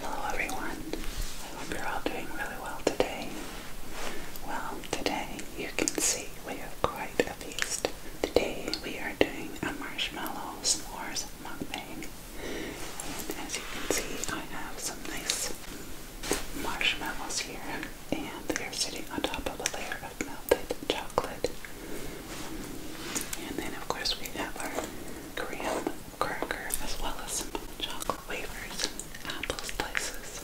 Hello everyone. I hope you're all doing really well today. Well, today you can see we have quite Today we are doing a marshmallow s'mores mukbang. And as you can see, I have some nice marshmallows here, and they are sitting on top of a layer of melted chocolate. And then, of course, we have our graham cracker as well as some chocolate wafers, and apple slices,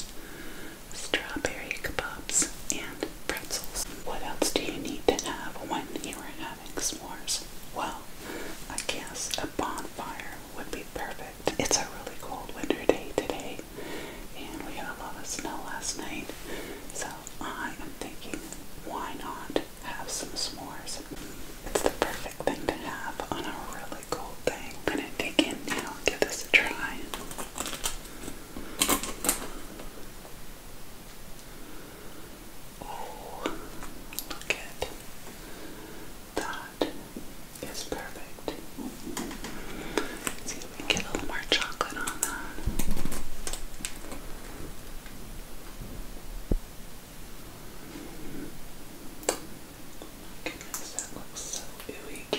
strawberry kebabs, and pretzels. What else do you need to have when you are having s'mores? Well, I guess a bonfire would be perfect. It's a really cold winter day today, and we had a lot of snow last night, so I am thinking, why not have some s'mores? It's the perfect thing to have on a really cold day. I'm gonna dig in now and give this a try. Oh, look at that. Is perfect. see if we get a little more chocolate on that. Goodness, that looks so ooey,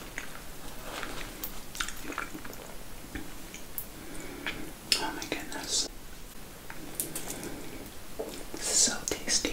Oh my goodness. This is so tasty.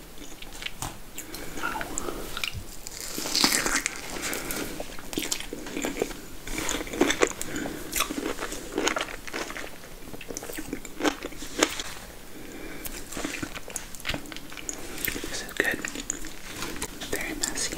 This is good. Very messy.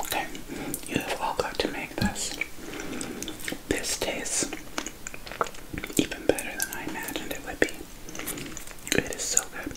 Okay, you have all got to make this. This tastes even better than I imagined it would be. It is so good.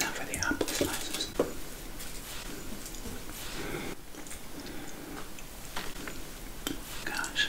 Now for the apple slices. Gosh.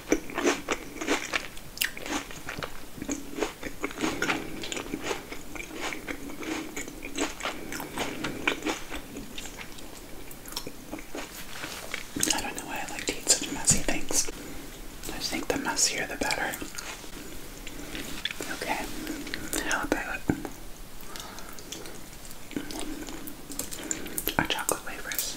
I don't know why I like to eat such messy things. I think the messier the better. Okay, how about our chocolate wafers?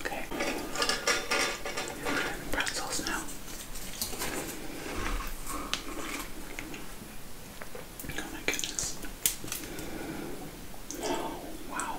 Okay. Pretzels now. Oh my goodness. Oh, wow.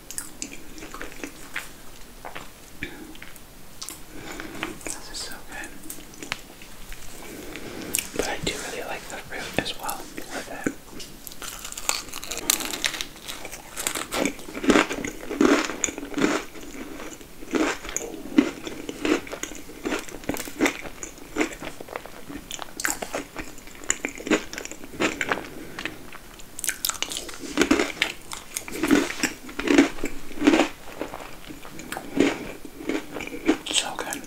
This is so good. But I do really like the fruit as well so good.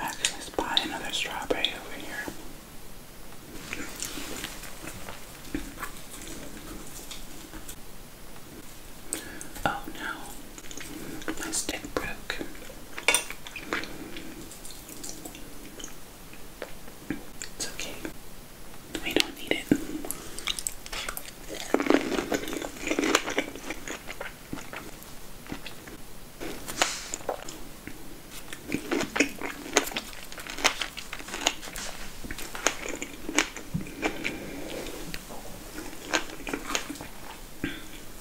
Actually, let another strawberry over here. Oh no. My stick broke. It's okay. We don't need it.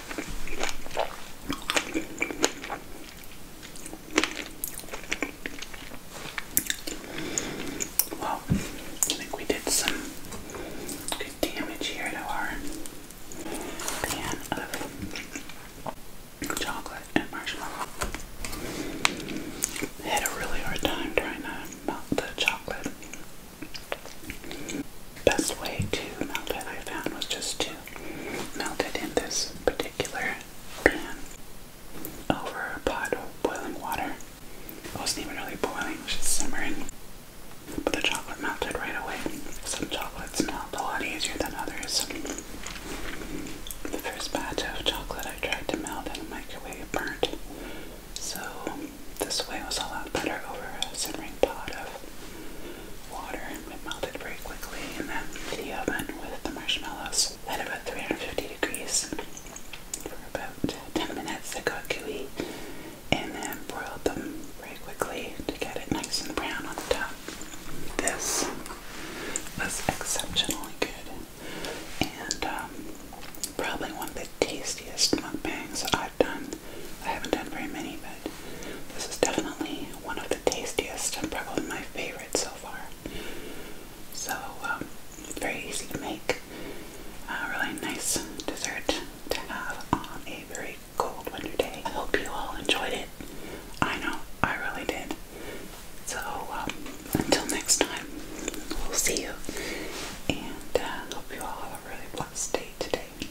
Well, I think we did some good damage here to our pan of chocolate and marshmallow. had a really hard time trying to melt the chocolate. Best way to melt it I found was just to melted in this particular pan over a pot of boiling water. It wasn't even really boiling, it was just simmering. But the chocolate melted right away. Some chocolates melt a lot easier than others. The first batch of chocolate I tried to melt in the microwave burnt. So this way was a lot better over a simmering pot of water it melted very quickly in the oven with the marshmallows at about 350 degrees for about 10 minutes. They got gooey and then broiled them very quickly to get it nice and brown on the top. This was exceptionally good and um, probably one of the tastiest mukbangs I have I've not done very many, but this is definitely one of the tastiest and probably my favorite so far. So, um, very easy to make. A really nice dessert to have on a very cold winter day. I hope you all enjoyed it. I know I really did. So, um, until next time, we'll see you. And I uh, hope you all have a really blessed day today.